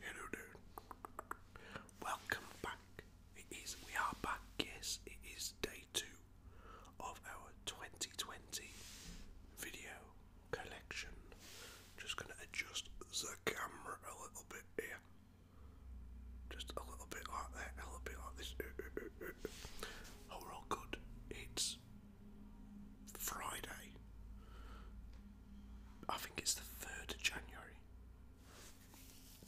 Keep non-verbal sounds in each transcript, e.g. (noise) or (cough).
Hello there. Welcome back. It is we are back, yes, it is day two of our 2020 video collection. Just going to adjust the camera a little bit here. Just a little bit like that, a little bit like this. Uh, uh, uh, oh, we're all good. It's Friday. I think it's the 3rd of January.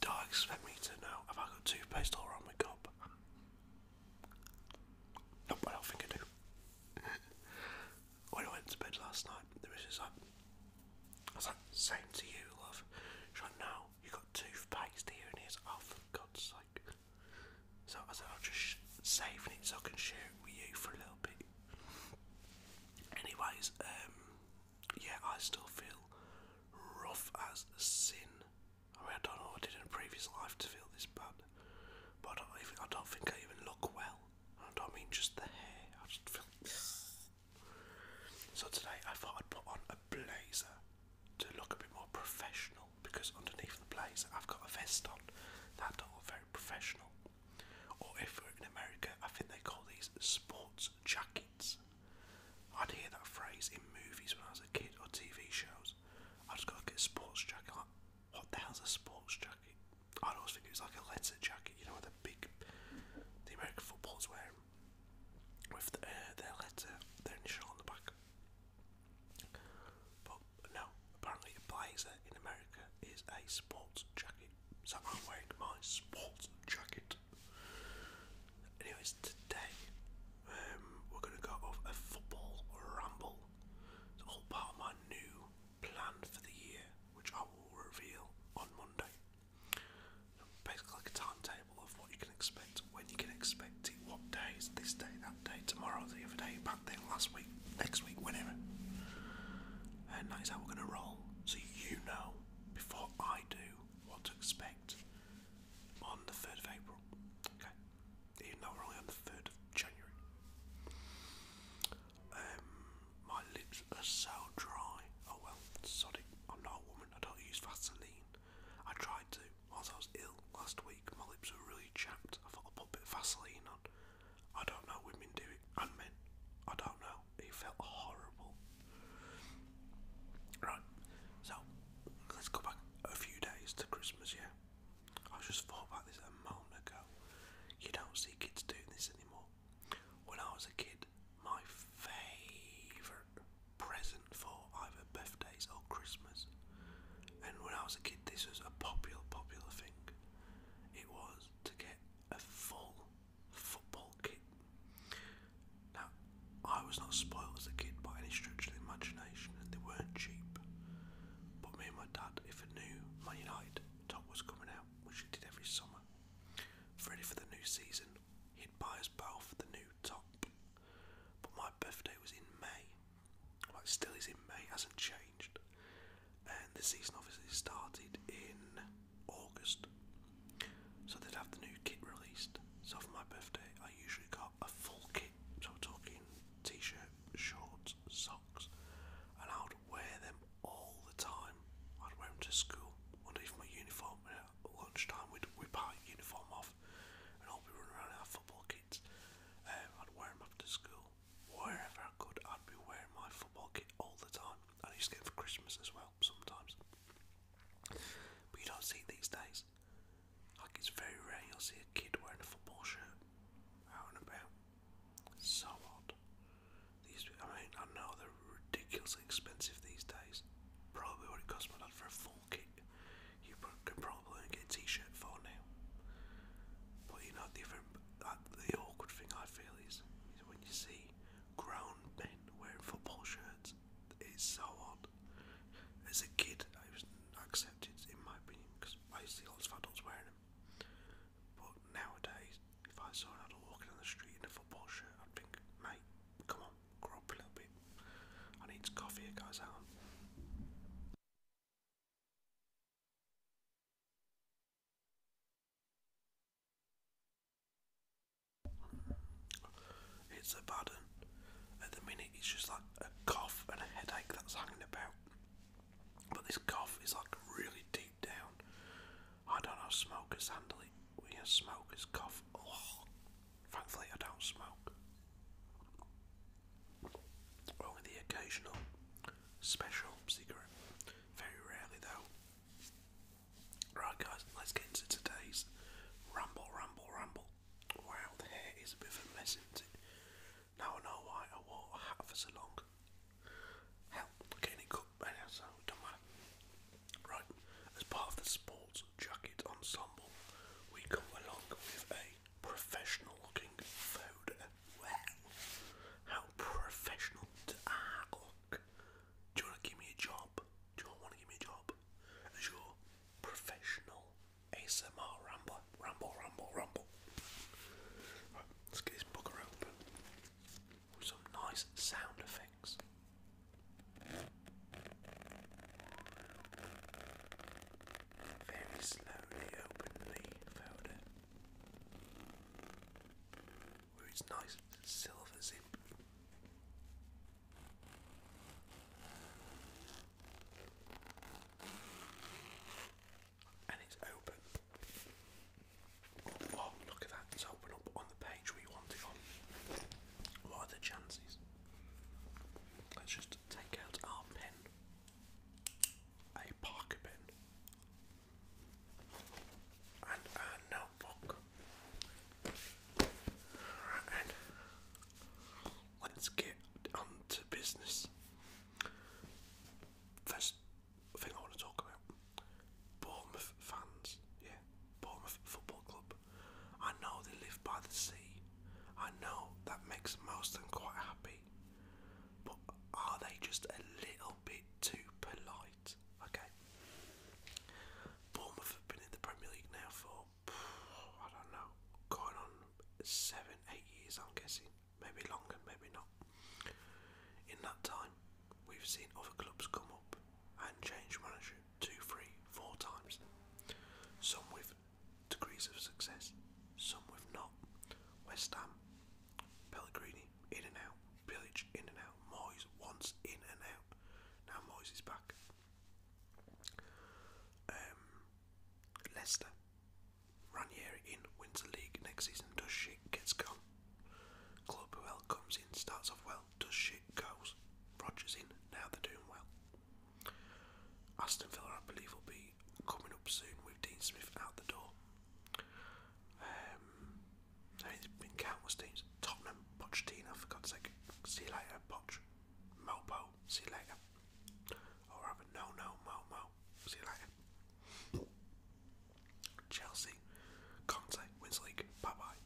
Don't expect me to know. Have I got toothpaste all around my gob? Nope, I think I do. (laughs) when I went to bed last night, the missus like, I was like, same to you, love. like, no, you got toothpaste here, and here's, oh, God's sake. So I said, like, I'll just save it so I can share it with you for a little bit. Anyways, um, yeah, I still feel rough as sin. I mean, I don't know what I did in a previous life to feel this bad, but I don't think I even look well. I don't mean just the hair, I just feel. so today I thought I'd put on a blazer to look a bit more professional because underneath the blazer I've got a vest on that do very professional. Or if we're in America, I think they call these sports jackets. I'd hear that phrase in movies when I was a kid or TV shows. I just gotta get a sports jacket. what the hell's a sports jacket? I always think it was like a letter jacket, you know, the big the American footballs wear with the, uh, their letter, their initial on the back. But no, apparently a blazer in America is a sports jacket. So I'm wearing my sports jacket. Anyways, today um, we're going to go over a football ramble. It's all part of my new plan for the year which I will reveal on Monday. Basically, like a timetable of what you can expect, when you can expect it, what days, this day, that day, tomorrow, the other day, back then, last week, next week, whenever. And that is how we're going to roll, so you know before I do what to expect on the 3rd of April. Okay, even though we're only on the 3rd of January. Um, my lips are so dry. Oh well, sod I'm not a woman. I don't use Vaseline. I tried to. Whilst I was ill last week, my lips were really chapped. I thought I'd put a bit of Vaseline on. I don't know. Women do it. And men. I don't know. It felt horrible. Right. So, let's go back a few days to Christmas, yeah? I just thought about this a moment ago. You don't see kids doing this anymore. When I was a kid, my favourite present for either birthdays or Christmas, and when I was a kid, this was a popular, popular thing, it was to get a full football kit. Now, I was not spoiled as a kid by any stretch of the imagination, and they weren't cheap. But me and my dad, if I knew my United top was coming out, we it did every summer, Ready for the new season, he'd buy us both the new top. But my birthday was in May. Well, it still is in May, hasn't changed. And the season obviously started in August. So they'd have the new kit released. So for my birthday, I usually got a full kit. So I'm talking t shirt, shorts, socks, and our I'd wear them all the time. I'd wear them to school underneath my uniform, and at lunchtime we'd whip our uniform off and all be running around in our football kits. Um, I'd wear them after school. Wherever I could, I'd be wearing my football kit all the time. I used to get it for Christmas as well, sometimes. But you don't see it these days. Like, it's very rare you'll see a kid wearing a football shirt out and about. So odd. These, I mean, I know they're ridiculously expensive these days. Probably what it cost my dad for a full kit. You could probably get a t-shirt for now. But you know, the, uh, the awkward thing I feel is, when you see grown men wearing football shirts. It's so odd. As a kid, I was accepted, in my opinion, because I see lots of adults wearing them. But nowadays, if I saw an adult walking on the street in a football shirt, I'd think, mate, come on, grow up a little bit. I need some coffee here, guys. Out. It's a bad one. At the minute, it's just like a cough and a headache that's hanging about. But this cough is like really deep deep down. I don't know, smokers handle We smokers cough. thankfully, I don't smoke. Only the occasional special cigarette. Very rarely, though. Right, guys, let's get into today's ramble, ramble, ramble. Wow, the hair is a bit of a mess, Now I know why I wore hat for so long right as part of the sports jacket ensemble, we go along with a professional looking food. Well, how professional to ah, look. Do you want to give me a job? Do you want to give me a job? As your professional ASMR rambler, ramble, ramble, ramble. let's get this booger open some nice sound effects. Very slowly open the folder. With its nice silver zip. And it's open. Oh, look at that. It's open up on the page we want on. What are the chances? Let's just take out our pen. A Parker pen. And a notebook. Right Let's get on to business. First thing I want to talk about. Bournemouth fans, yeah, Bournemouth Football Club. I know they live by the sea. I know that makes most them quite happy. But are they just a little bit too polite? Okay. Bournemouth have been in the Premier League now for, I don't know, going on seven, eight years, I'm guessing. Maybe longer, maybe not. In that time, we've seen other clubs come up and change manager two, three, four times. Some with degrees of success, some with not. West Ham, Pellegrini, in and out. Pillage, in and out. Moyes, once, in and out. Now Moyes is back. Um, Leicester, Ranieri in, wins the league next season, does shit, gets gone. Club who else comes in, starts off well, does shit, goes. Rogers in, now they're doing well. Aston Villa, I believe, will be coming up soon with Dean Smith out the door. Um, there's been countless teams. Tottenham, Pochettino, for God's sake. See you later, Poch. Mopo, see you later. Or rather, no, no, Momo, see you later. Chelsea. Conte wins league. Bye bye.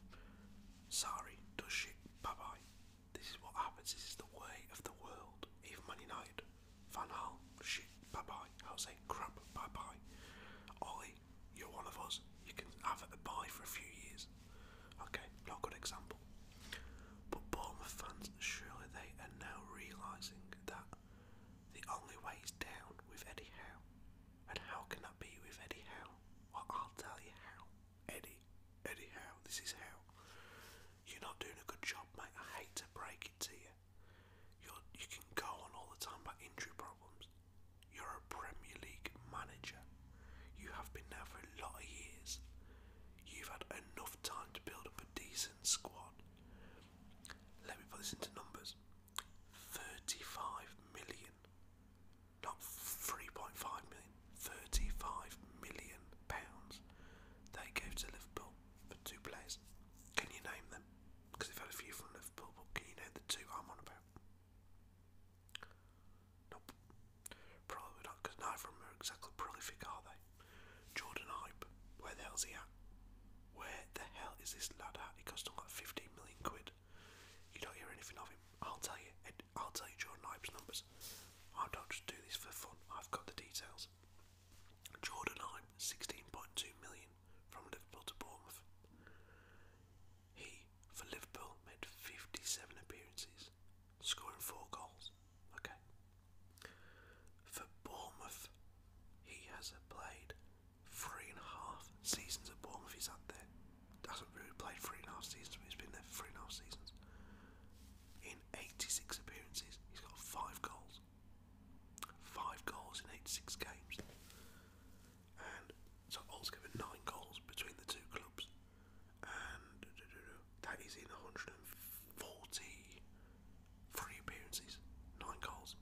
Sorry, does shit. Bye bye. This is what happens. This is the way of the world. Even Man United. Van Hal, shit. Bye bye. say crap. Bye bye. Ollie, you're one of us. You can have it a bye for a few years. Okay, not a good example. But Bournemouth fans, surely they are now realising that the only way is down with Eddie Howe. And how can that be with Eddie Howe? Well, I'll tell you how. Eddie, Eddie Howe, this is how. You're not doing a good job, mate. I hate to break it to you. You're, you can go on all the time about injury problems. You're a Premier League manager. You have been there for a lot of years. You've had enough time to build up a decent squad. Let me put this into numbers. 35 million, not 3.5 million, 35 million pounds they gave to Liverpool for two players. Can you name them? Because they've had a few from Liverpool, but can you name the two I'm on about? Nope. Probably not, because neither of them are exactly prolific, are they? Jordan Hype, where the hell's he at? Where the hell is this lad at? He cost him like 15 million quid. You don't hear anything of him. I'll tell you. I'll tell you Jordan Ibe's numbers. I don't just do this for fun. I've got the details. Jordan Ibe, 16.2 million from Liverpool to Bournemouth. He, for Liverpool, made 57 appearances, scoring four goals. Okay. For Bournemouth, he has played three and a half seasons at Bournemouth he's up there. does not really played three and a half seasons, he's been there for three and a half seasons. In 86 appearances, he's got five goals. Five goals in 86 games. And so Old's given nine goals between the two clubs. And that is in 143 appearances, nine goals.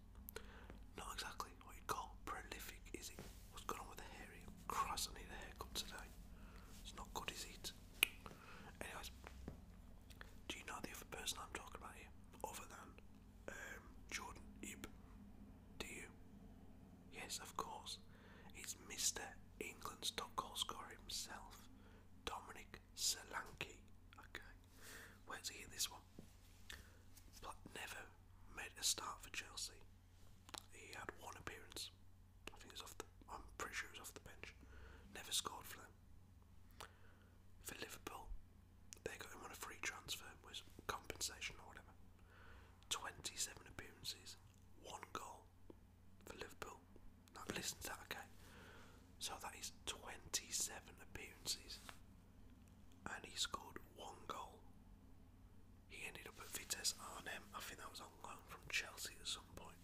Not exactly what you'd prolific, is it? What's going on with the hair Christ, I need a haircut today. It's not good, is it? Anyways, do you know the other person I'm talking about here? Other than um, Jordan Do you? Yes, of course. It's Mr. England's top goal scorer himself, Dominic Solanke. Okay, where's he at this one. never made a start for Chelsea. He had one appearance. I think it off the. I'm pretty sure it off the bench. Never scored for them. For Liverpool, they got him on a free transfer, was compensation or whatever. 27 appearances, one goal for Liverpool. Now listen to that, okay? So that is 27 appearances, and he scored one goal. He ended up at Vitesse Arnhem, I think that was on loan from Chelsea at some point,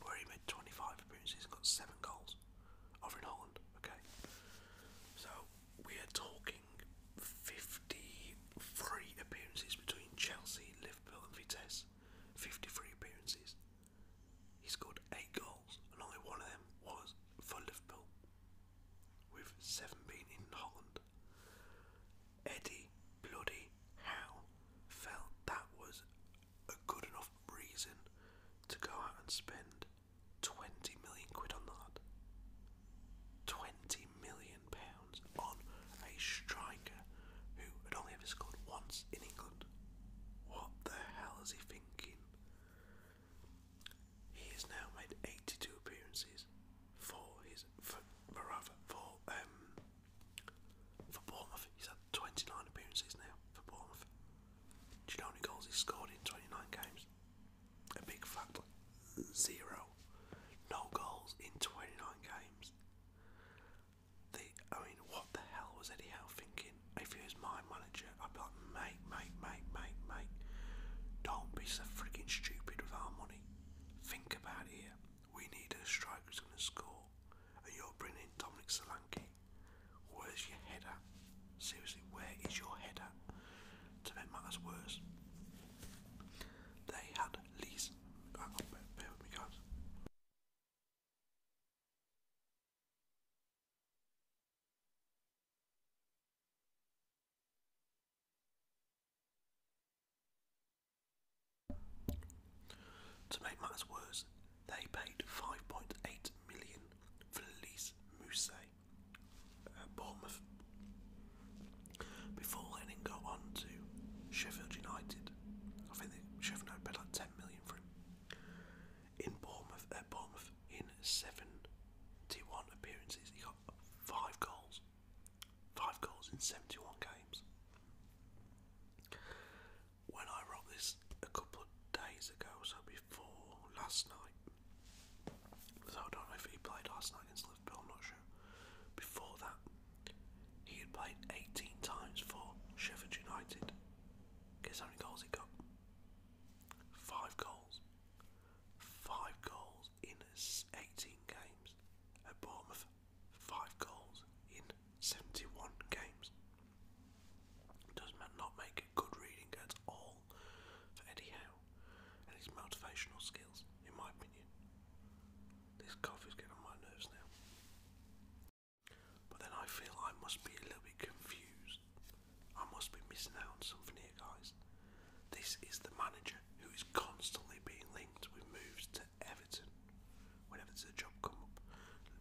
where he made 25 appearances and got 7 goals over in Holland. Okay, so we are talking 53 appearances between Chelsea, Liverpool, and Vitesse. 53 appearances. He scored 8 goals, and only one of them was for Liverpool with seven being in Holland. Eddie Bloody Howe felt that was a good enough reason to go out and spend 20 million quid on that. 20 million pounds on a striker who had only ever scored once in England. What the hell is he thinking? He has now made 82 appearances for his for, rather, for um for Bournemouth. He's had 29 appearances now for Bournemouth. Do you know how many goals he's scored in 29 games? A big factor. Zero. No goals in 29 games. The, I mean, what the hell was Eddie Howe thinking? If he my manager, I'd like, mate, mate, mate, mate, mate, don't be so freaking stupid with our money. Think about it We need a striker who's going to score. And you're bringing in Dominic Solanke. Where's your head at? Seriously, where is your head at? To make matters worse, they had least. bear with me, guys. To make matters worse, they paid 5.8 million for Elise Mousset at Bournemouth before Lennon got on to Sheffield United. I think Sheffield United paid like 10 million for him. In Bournemouth, at Bournemouth, in 71 appearances, five goals. Five goals in 71 games. When I wrote this a couple days ago, so before last night, so I don't know if he played last night against Liverpool, not sure. Before that, he had played 18 times for Sheffield United. Guess how many goals he got? Five goals five goals in 18 games. At Bournemouth, five goals in 71 games. Does not make good reading at all for Eddie Howe and his motivational skills, in my opinion. This coffee's getting on my nerves now. But then I feel I must be a little bit confused I must be missing out on something here, guys. This is the manager who is constantly being linked with moves to Everton whenever there's a job come up,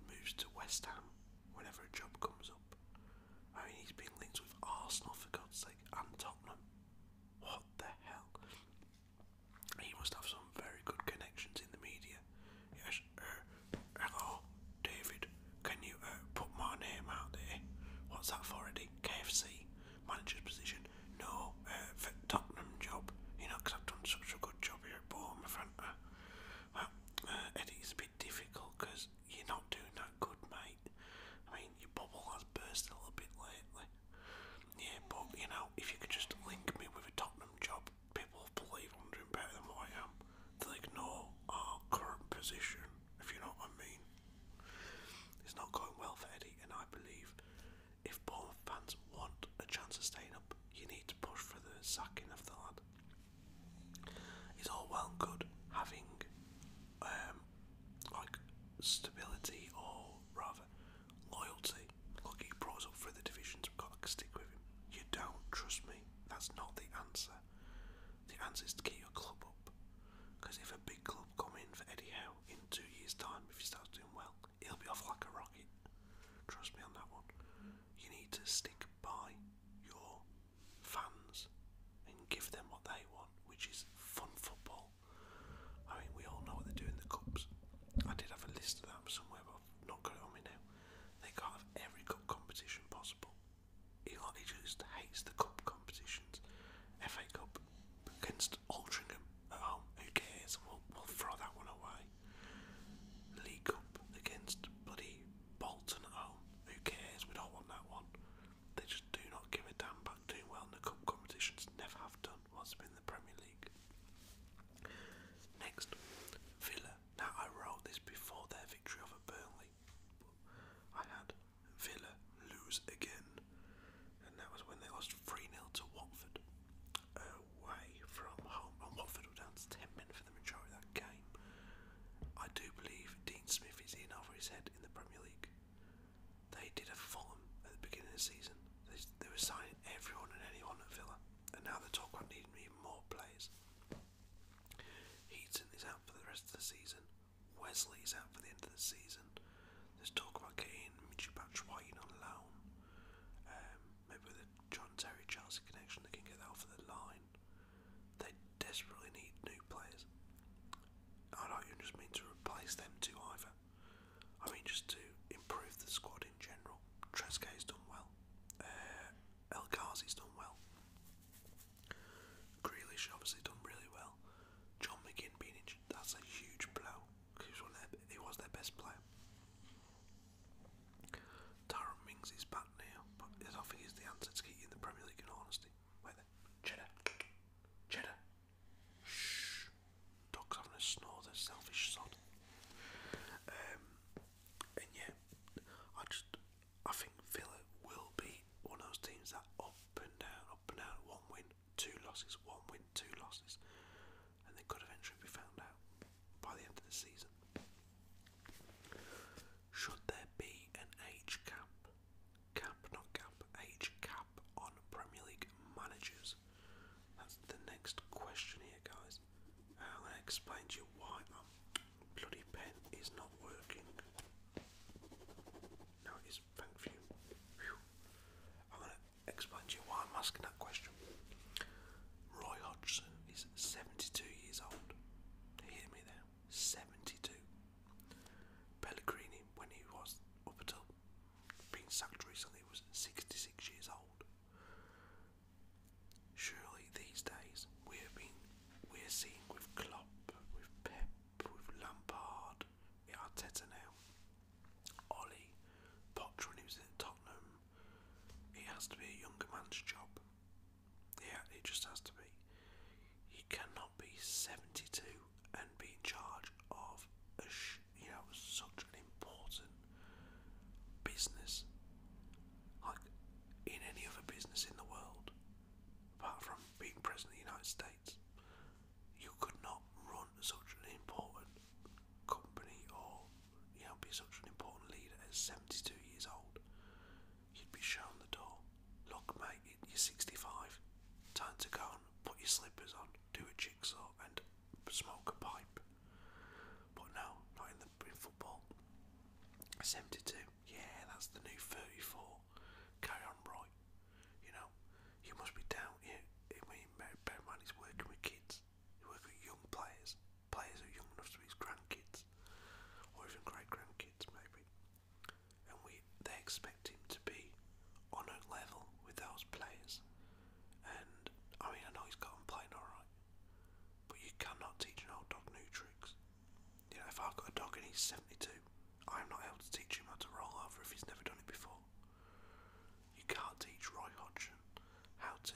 moves to West Ham whenever a job comes up. I mean, he's being linked with Arsenal for God's sake and Tottenham. What the hell? He must have some very good connections in the media. Yes, er, hello, David. Can you uh, put my name out there? What's that for, Eddie? KFC manager's position? No, uh, for Tottenham job. You know, because I've done such a good job here at Bournemouth. And, well, uh, it's a bit difficult because you're not doing that good, mate. I mean, your bubble has burst a little bit lately. Yeah, but you know, if you could just link me with a Tottenham job, people will believe I'm doing better than what I am. They ignore our current position if you know what I mean. It's not going well for Eddie, and I believe if Bournemouth fans want a chance of staying up, you need to push for the sacking of the lad. It's all well and good having um, like stability or rather loyalty. Look, he brought up through the divisions, we've got to stick with him. You don't trust me, that's not the answer. The answer is to keep your club up. Because if a big club come in for Eddie Howe in two years' time, if he starts doing well, he'll be off like a rocket. Trust me on that one. You need to stick by your fans and give them what they want, which is fun football. I mean, we all know what they do in the cups. I did have a list of that somewhere, but I've not got it on me now. They can't have every cup competition possible he, like, just hates the cup competitions. FA Cup against Altrincham at home, who cares? We'll, throw that one away. League Cup against bloody Bolton at home, who cares? We don't want that one. They just do not give a damn about doing well in the cup competitions, never have done What's been the Premier League. Next, Villa. Now I wrote this before their victory over Burnley, I had Villa lose again, and that was when they lost 3 nil to Watford away from home. And Watford were down 10 men for the majority of that game. I do believe Dean Smith is in over his head in the Premier League. They did a Fulham at the beginning of the season, they, were signing everyone and anyone at Villa, and now they're talking about needing even more players. Heaton this out for the rest of the season. Wesley's out for the end of the season. There's talk about getting Mitchy Batch on loan. Um, maybe with a John Terry Chelsea connection, they can get that off the line. They desperately need new players. I don't even just mean to replace them two either. I mean just to improve the squad in general. Tresque's done well. Uh, El Ghazi's done well. Grealish obviously done really well. John McGinn being injured, that's a huge blow. Cause he, was one their, he was their best player. Darren Mings is back now, but I don't think he's the answer to keep in the Premier League in all honesty. Wait there. Cheddar. Cheddar. Shh. Dog's having a snore, the selfish sod. Um, and yeah, I just, I think Villa will be one of those teams that up and down, up and down, one win, two losses, one win, two losses, and they could eventually be found out by the end of the season. Should there be an age cap, cap not cap, age cap on Premier League managers? That's the next question here, guys. I'm going to explain to you why my bloody pen is not working. No, it is. Thank you. I'm going to explain to you why I'm asking that question. Roy Hodgson is 72 years old. Hear me there. 72. Pellegrini, when he was up until being sacked recently, was 66 years old. Surely these days we're being we're seeing with Klopp, with Pep, with Lampard, with Arteta now. Poch when he was at Tottenham, it has to be a younger man's job. Yeah, it just has to be. You cannot be 72 and be in charge of a sh you know such an important business, like in any other business in the world, apart from being president of the United States you could not run such an important company or you know, be such an important leader at 72 years old. You'd be shown the door. Look, mate, you're 65. Time to go and put your slippers on, do a jigsaw, and smoke a pipe. But no, not in the in football. 72. Yeah, that's the new 34. Carry on, Roy. You know, you must be down here. I mean, bear in mind, he's working with kids. He's working with young players. Players who are young enough to be his grandkids. Or even great-grandkids, maybe. And we they expect him to be on a level with those players. And, I mean, I know he's got him playing alright. But you cannot teach an old dog new tricks. You know, if I've got a dog and he's 72 I am not able to teach him how to roll over if he's never done it before. You can't teach Roy Hodgson how to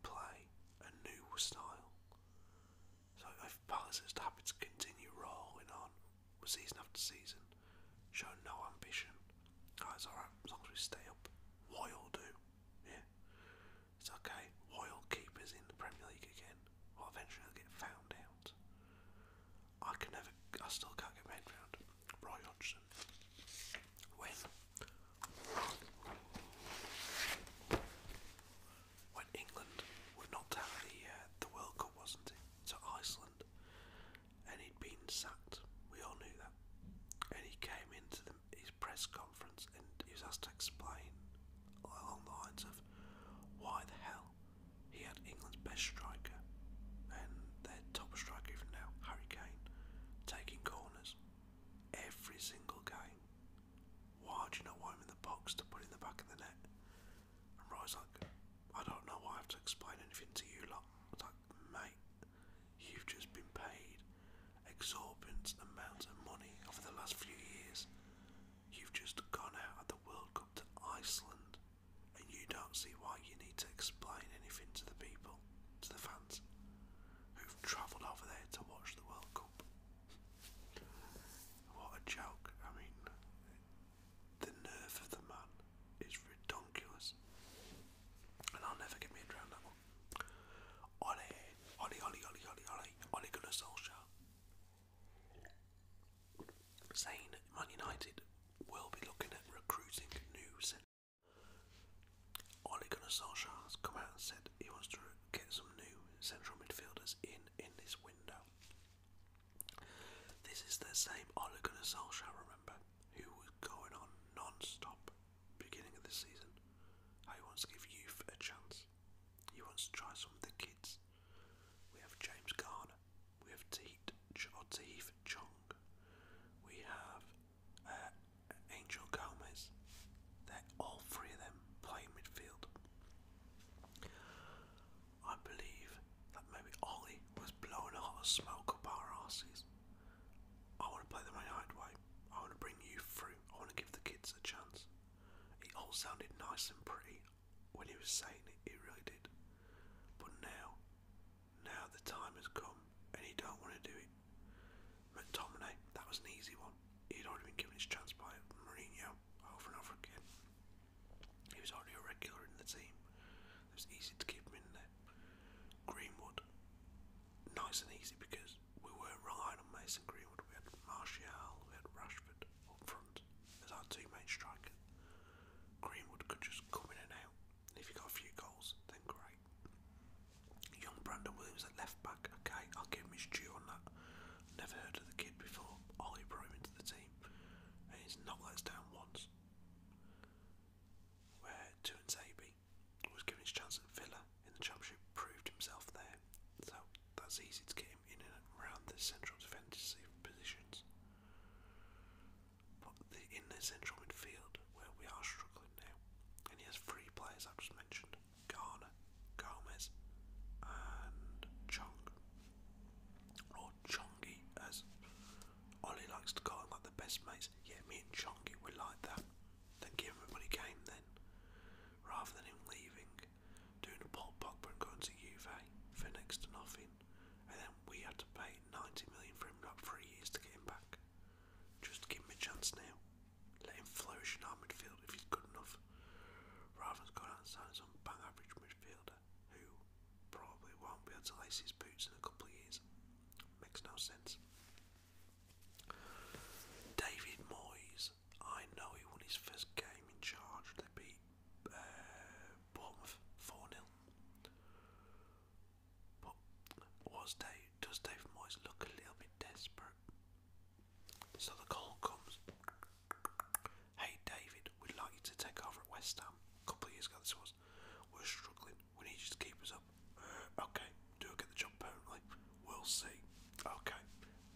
play a new style. So if Palace is happy to continue rolling on season after season, show no ambition, Guys, it's alright as long as we stay up. Royal do, yeah. It's okay. Royal keepers in the Premier League again. Well, eventually they'll get found out. I can never, I still can't get my head round Roy Hodgson. When, when England were knocked out the, uh, the World Cup, wasn't it? To Iceland, and he'd been sacked. We all knew that. And he came into the, his press conference and he was asked to explain along the lines of why the hell he had England's best striker and their top striker even now, Harry Kane, taking corners every single game. Why do you not want him in the box to put in the back of the net? And Roy's like, I don't know why I have to explain anything to you lot. like, mate, you've just been paid exorbitant amounts of money over the last few years. You've just gone out at the World Cup to Iceland and you don't see why you need to explain anything to the people, to the fans, who've travelled over there to watch the World Cup. what a joke, I mean, the nerve of the man is redonkulous. And I'll never get me around that one. Ollie, Ollie, Ollie, Ollie, Ollie, Ollie, Ollie Gunnar Solskjaer saying Man United will be looking at recruiting new centre. Ole has come out and said he wants to get some new central midfielders in in this window. This is the same Ole Gunnar remember, who was going on non beginning of the season. he wants to give youth a chance. He wants to try some of the kids. We have James Garner, we have or Tahith Chong, we have uh, Angel Gomez. They're all three of them playing midfield. I believe that maybe Ollie was blowing a of smoke up our asses. I want to play the Man United way. I want to bring you through. I want to give the kids a chance. It all sounded nice and pretty when he was saying it, it really did. But now, now the time has come and you don't want to do it. McTominay, that was an easy one. He'd already been given his chance by Mourinho over and over again. He was already a regular in the team. It was easy to keep him in there. Greenwood, nice and easy because we weren't relying on Mason Greenwood. We had Martial, we had Rashford up front as our two main striker. Greenwood could just come in and out. If you got a few goals, then great. Young Brandon Williams at left back, okay, I'll give him his due on that. Never heard of the kid before. Ollie brought him into the team, and he's not let us down once. Where Tuanzebe was given his chance at Villa in the Championship, proved himself there, so that's easy to get him in and around the central defensive positions. But in the central midfield, where we are struggling now, and he has three players I've just mentioned Garner, Gomez, and Chong. Or Chongi, as Ollie likes to call them, like the best mates. Yeah, me and Chongi, we like that. Thank you, everybody came then. Rather than him leaving, doing a Paul Pogba and going to Juve for next to nothing and then we had to pay 90 million for him not three years to get him back. Just give him a chance now. Let him flourish in our midfield if he's good enough. Rather than going out and signing some bang average midfielder who probably won't be able to lace his boots in a couple of years. Makes no sense. David Moyes. I know he won his first game in charge. They beat uh, Bournemouth 4 0. But was Dave, does David Moyes look a little bit desperate? So the call comes. Hey David, we'd like you to take over at West Ham. A couple of years ago, this was. We're struggling. We need you to up. Uh, okay, do get the job permanently? We'll see. Okay,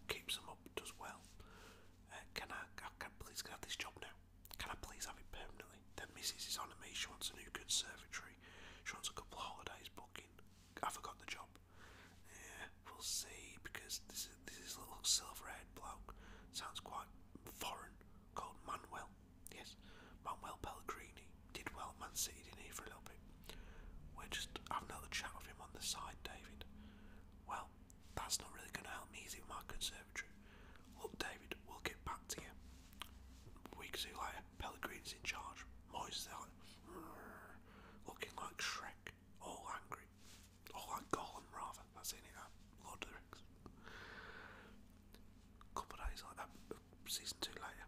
keeps them up, does well. Uh, can I? can, please can this job now? Can I please have it permanently? Then Mrs. is on at me. She wants a new conservatory. She wants a couple of holidays booking. I forgot the job. Yeah, we'll see. Because this is this is a little silver-haired bloke sounds quite foreign. Called Manuel. Yes, Manuel Pellegrini did well Man City, in here For a little bit. We're just having another chat with him on the side, David. Well, that's not really going to help me either with my conservatory. Look, David, we'll get back to you. Week two later, Pellegrini's in charge. Moyes there, like, looking like Shrek, all angry. All like Gollum, rather. That's in it, uh, Lord of the Rings. Couple days like that, season two later.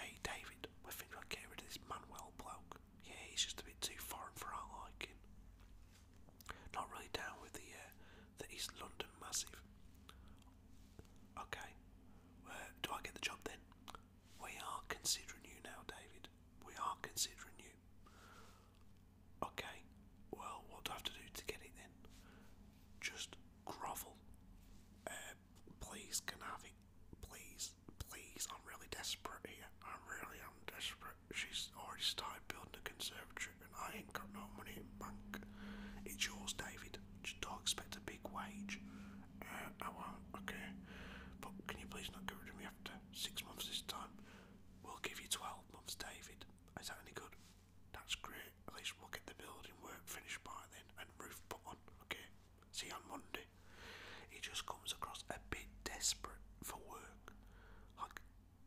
Hey, David, we think I'll get rid of this Manuel bloke. Yeah, he's just a bit too foreign for our liking. Not really down with the uh, the East London massive. Okay, do I get the job then? We are considering you now, David. We are considering you. Okay, well, what do I have to do to get it then? Just grovel. Uh, please, can Please, please, I'm really desperate here. I really am desperate she's already started building the conservatory and I ain't got no money in It's yours, David. Just do expect a big wage. Uh, I won't, okay. But can you please not get rid of me after six months this time? We'll give you 12 months, David. Is that any good? That's great. At least we'll get the building work finished by then and roof put on, okay? See you on Monday. He just comes across a bit desperate for work. Like,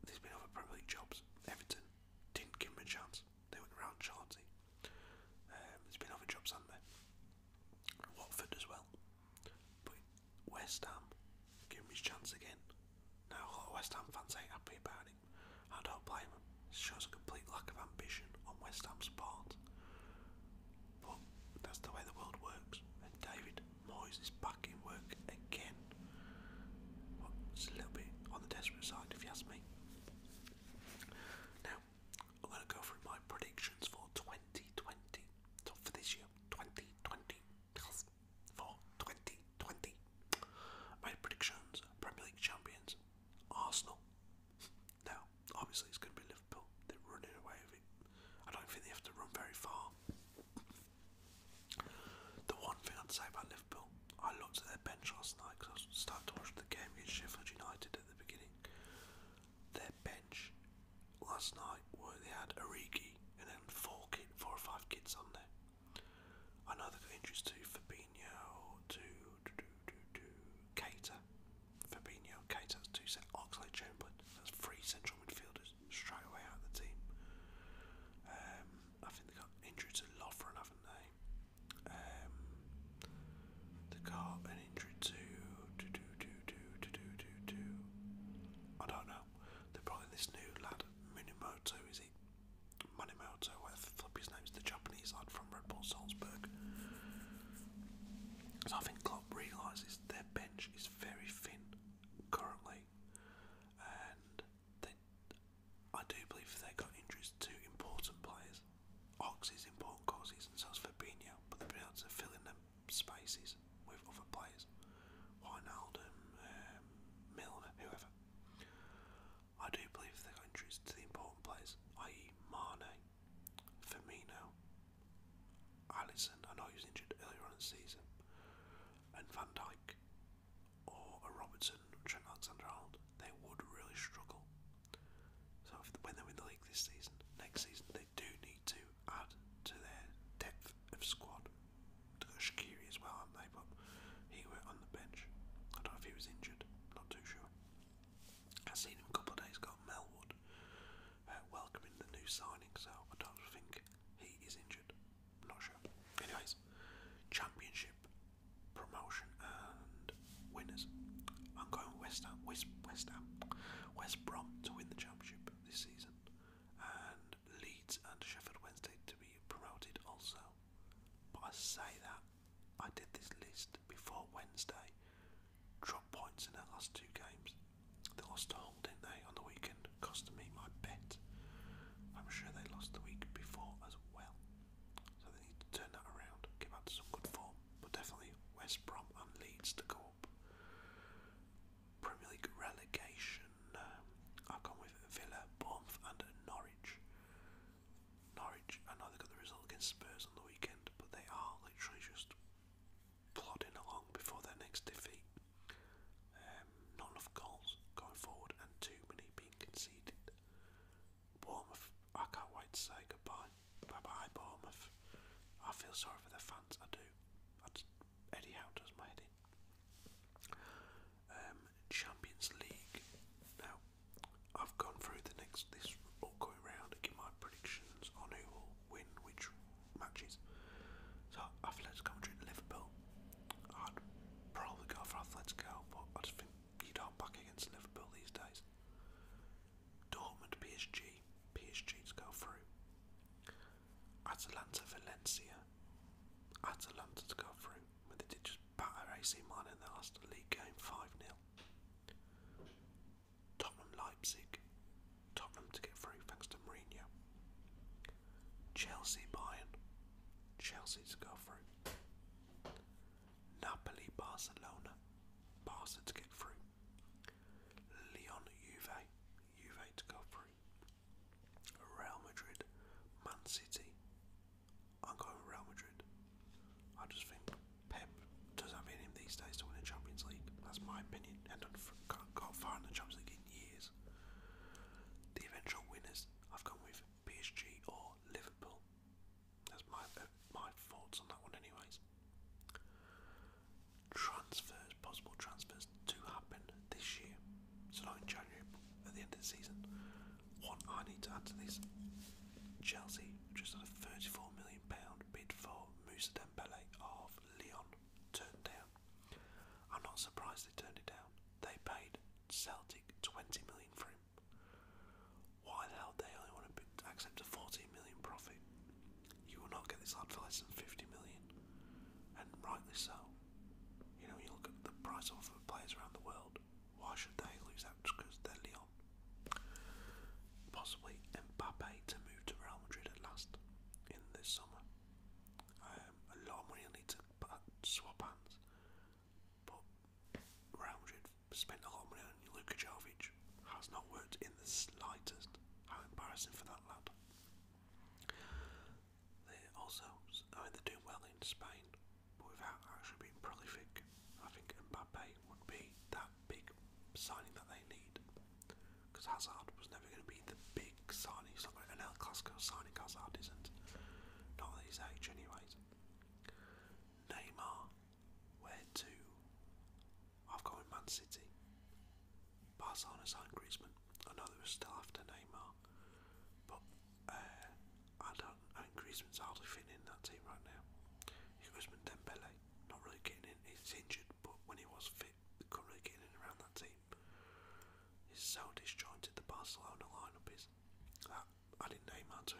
there's been other Premier jobs. Everton, didn't give him a chance. They went round Chauncey. Um, there's been other jobs on there. Watford as well. But West Ham gave him his chance again. Now a West Ham fans ain't happy about it. I don't blame him. It shows a complete lack of ambition on West Ham's part. But that's the way the world works. And David Moyes is back work again. it's a little bit on the desperate side, if you ask me. Now, I'm going to go through my predictions for 2020. So for this year, 2020. For 2020. My predictions Premier League champions, Arsenal. Now, obviously, it's going to be Liverpool. They're running away with it. I don't think they have to run very far. The one thing I'd say about Liverpool, I looked at their bench last night because I started to watch the game against Sheffield United at the beginning. Their bench last night, where they had Origi and then four, kids, four or five kids on there. I know they've got injuries to Fabinho, to Cater, Fabinho, Cater, that's two set. Oxley Chamberlain, that's three central midfielders straight away out of the team. Um, I think they got injured to Lovren, haven't they? Um, they got an injury to do do do do do do do do. I don't know. They brought in this new lad, Minimoto. Is it Manimoto? Whatever flip his name's the Japanese lad from Red Bull Salzburg. So I think Klopp realises their bench is very thin currently, and I do believe they got injuries to important players. Ox is important causes, and so is Fabinho, but the players are filling in them spaces with other players. Wijnaldum, um, Milner, whoever. I do believe they got injuries to the important players, i.e. Mane, Firmino, Allison, I know he was injured earlier on in the season, and Van Dijk or a Robertson, Trent Alexander-Arnold, they would really struggle. So when they're in the league this season, next season they do need to add to their depth of squad. They've got as well, haven't they? But he went on the bench. I don't know if he was injured. Not too sure. I seen him a couple of days ago. Melwood uh, welcoming the new signings. so I don't think he is injured i not sure. Anyways, championship promotion and winners. I'm going West Ham, West, West Ham, West Brom to win the championship this season, and Leeds and Sheffield Wednesday to be promoted also. But I say that I did this list before Wednesday. Drop points in their last two games. They lost to Hull, did on the weekend? weekend, costing me my bet. I'm sure they lost the week before as well. So they need to turn that around, get back to some good form. But definitely West Brom and Leeds to go up. Premier League relegation. Um, I've gone with Villa, Bournemouth and Norwich. Norwich, I know they got the result against Spurs on the weekend, but they are literally just plodding along before their next defeat. Uh, um, not goals going forward and too many being conceded. Bournemouth, I can't wait to say goodbye. Bye bye, Bournemouth. I feel sorry for the fans, I do. That's Eddie Howe does my head in. Um, Champions League. Now, I've gone through the next this upcoming round give my predictions on who will win which matches. So, I've led commentary to Liverpool. I'd probably go for Atletico, but I just think you don't back against Liverpool these days. Dortmund PSG, PSG to go through. Atalanta Valencia, Atalanta to go through. But they did just batter AC Milan in their last league game 5 0. Tottenham Leipzig, Tottenham to get through thanks to Mourinho. Chelsea Bayern. Chelsea to go through. Napoli Barcelona. Barca to get through. Leon Juve. Juve to go through. Real Madrid. Man City. I'm going Real Madrid. I just think Pep does have in him these days to win a Champions League. That's my opinion. And got far in the Champions League in years. The eventual winners I've gone with PSG or Liverpool. That's my uh, my thoughts on that one, anyways. Transfers, possible transfers to happen this year, so in January, at the end of the season. One I need to add to this: Chelsea just had a 34 million pound bid for Moussa Dembele of Lyon turned down. I'm not surprised they turned it down. They paid Celtic 20 million for him. Why the hell they only want to accept a 14 million profit? You will not get this lad for less than 50 million, and rightly so. You know, you look at the price offer for players around the world. Why should they lose out just because they're Leon? Possibly Mbappe to move to Real Madrid at last in this summer. Um, a lot of money I need to uh, swap hands. But Real Madrid spent a lot of money on Luka Jovic. Has not worked in the slightest. How embarrassing for that lad. They also, I mean, they're doing well in Spain, but without actually being prolific, I think Mbappe would be that big signing that they need. Because Hazard was never going to be the big signing. It's not like an El Clasico signing Hazard isn't. Not at his anyways. Neymar, where to? I've gone Man City. Barcelona signed Griezmann. I know they were still after Neymar, but uh, I don't. I Griezmann's hardly fitting in that team right now. Griezmann, Dembele, not really getting in. He's injured, but when he was fit, they couldn't really get in around that team. He's so disjointed the Barcelona lineup is. That adding Neymar to,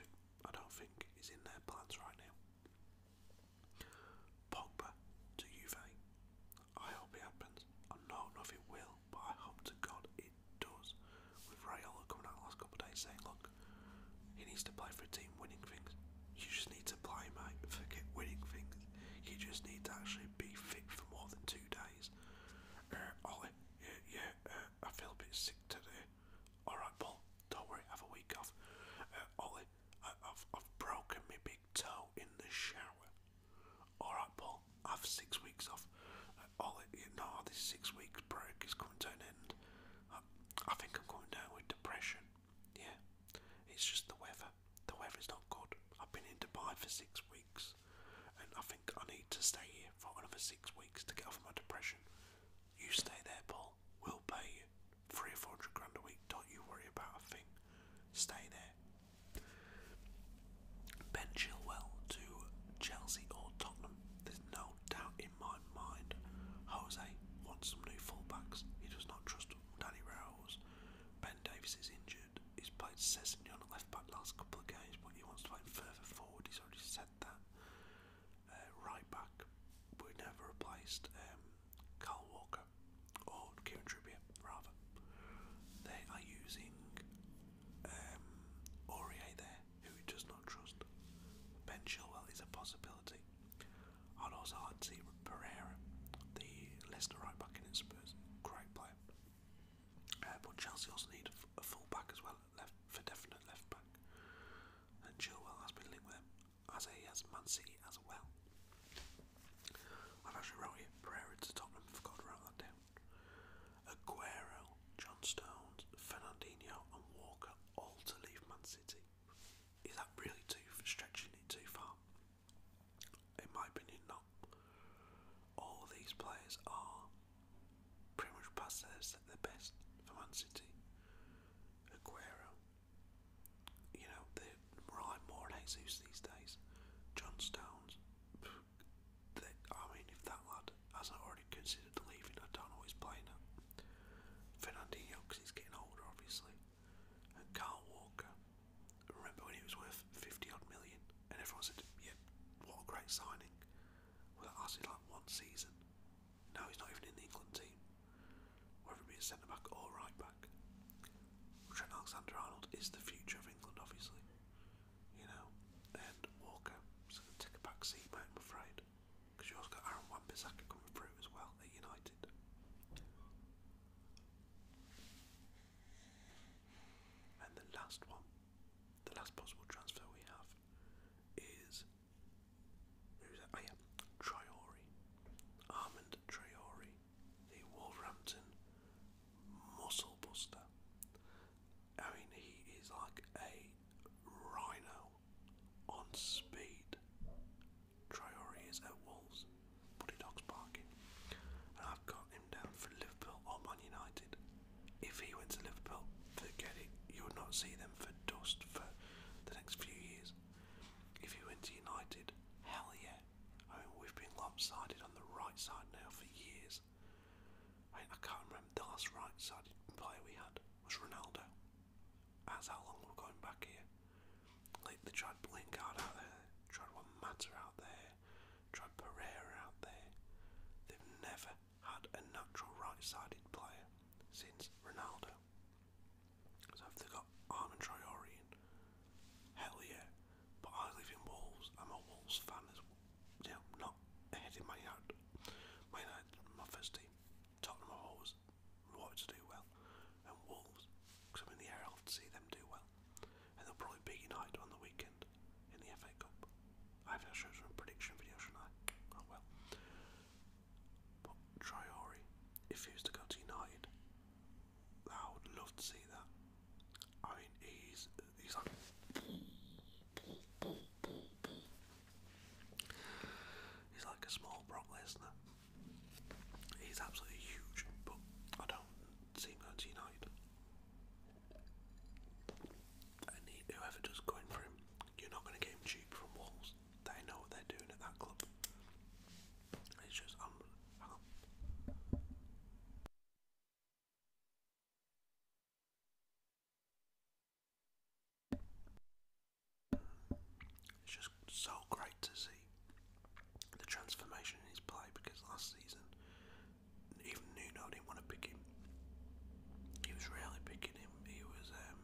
I don't think is in their plans right now. Pogba to Juve. I hope it happens. I know nothing will, but I hope to God it does. With Rayola coming out last couple days saying, look, he needs to play for a team winning things. You just need to play, mate. Forget winning things. You just need to actually be fit for more than two days. Uh, Ollie, yeah, yeah, uh, I feel a bit sick today. Alright, Paul, don't worry, have a week off. Uh, Ollie, I, have I've broken my big toe in the shower. Alright, Paul, have six weeks off. Uh, Ollie, you this six week break is coming to an end. I, I think I'm going down with depression. Yeah, it's just the weather. The weather's not good. I've been in Dubai for six weeks and I think I need to stay here for another six weeks to get off my depression. You stay there, Paul. We'll pay you three or four hundred grand a week. Don't you worry about a thing. Stay there. Ben Chilwell to Chelsea or Tottenham. There's no doubt in my mind. Jose wants some new fullbacks. He does not trust Danny Rose. Ben Davis is injured. He's played left left back last couple of games, but he wants to play further forward. He's already said that. Uh, right back, we never replaced um, Carl Walker or Kieran Trippier, rather. They are using um, there, who does not trust. Ben Chilwell is a possibility. i also like to see Pereira, the Leicester right back in Spurs, great player. Uh, but Chelsea also need a full back as well, left for definite left back. And Chilwell has been linked with him, as has Man as well. have actually wrote it Pereira to Tottenham, forgot to that down. Aguero, John Fernandinho and Walker all to leave Man City. Is that really too stretching it too far? In my opinion, not. All these players are pretty much past their best for Man City. Aguero, you know, they rely more Jesus these days. John Stones, I mean, if that lad hasn't already considered leaving, I don't know what he's Fernandinho, because he's getting older, obviously. And Carl Walker, remember when he was worth 50 odd million? And everyone said, yeah, what a great signing. Well, that lasted like one season. Now he's not even in the England team, whether it be centre back or right back. Trent Alexander Arnold is the future of England, obviously. You know, and Walker is going to take a back seat, mate, I'm afraid. Because you also got Aaron Wan coming through as well at United. And the last one the last possible transfer we have is who's that? Oh yeah, Traore, Armand Traore, the Wolverhampton muscle buster. I mean, he is like a rhino on speed. Traore is at Wolves, Buddy Dogs Parking, and I've got for Liverpool or Man United. If he went to Liverpool, forget it, you would not see them for dust for the next few years. If he went to United, hell yeah. I mean, we've been lopsided on the right side now for years. I, can't remember the last right sided player we had was Ronaldo. That's how long we're going back here. Like, they tried Blinkard out there, tried One Matter out there, tried Pereira out there. They've never had a natural right-sided player since Ronaldo. So if they got Armin Traorian, hell yeah. But I live in Wolves. I'm a Wolves fan as well. You know, not ahead in my yard. My yard, my first team. Tottenham have always wanted to do well, and Wolves, because I'm in the area, I'll see them do well. And they'll probably beat United on the weekend in the FA Cup. I have shows from prediction video, shouldn't I? Oh well. But Triori, if to go to United, I would love to see that. I mean, he's he's like he's like a small Brock Lesnar. He's absolutely huge, but I don't see him going United and he, whoever does go for him, you're not going to get him cheap from Wolves. They know what they're doing at that club. It's just um, It's just so great to see the transformation in his play because last season even Nuno didn't want to pick him. He was rarely picking him. He was um,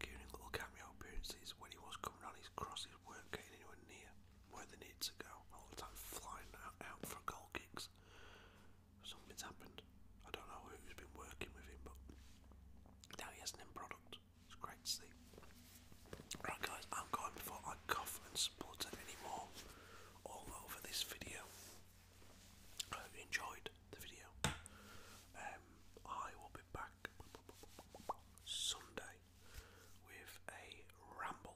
giving him little cameo appearances. When he was coming on, his crosses weren't getting anywhere near where they need to go. All the time flying out, for goal kicks. Something's happened. I don't know who's been working with him, but now he an end It's great to see. Right, guys, I'm going before I cough and splutter anymore all over this video. I hope you enjoyed the video. Um, I will be back Sunday with a ramble.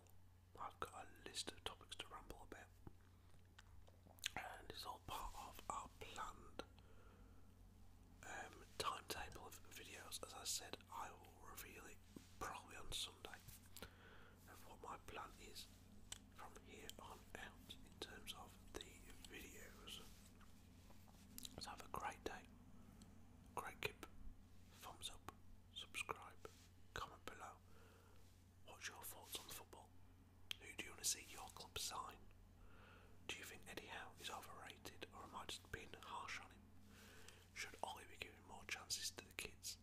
I've got a list of topics to ramble about, and it's all part of our planned um, timetable of videos. As I said, I will reveal it probably on Sunday of what my plan is from here on out in terms of the videos. So have a great day, great kip, thumbs up, subscribe, comment below. What's your thoughts on football? Who do you want to see your club sign? Do you think Eddie Howe is overrated or am I just being harsh on him? Should Ollie be giving more chances to the kids?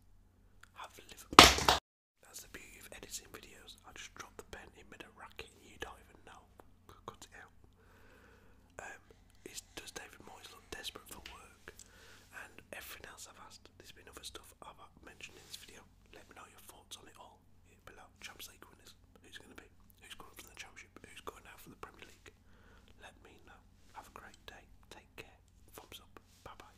Have Liverpool that's the beauty of editing videos. I just drop the pen in mid a racket and you don't even know. Cut it out. Um, does David Moyes look desperate for work? And everything else I've asked, there's been other stuff I've mentioned in this video. Let me know your thoughts on it all below. Champions winners. Who's going to be? Who's going up for the Championship? Who's going out for the Premier League? Let me know. Have a great day. Take care. Thumbs up. Bye bye.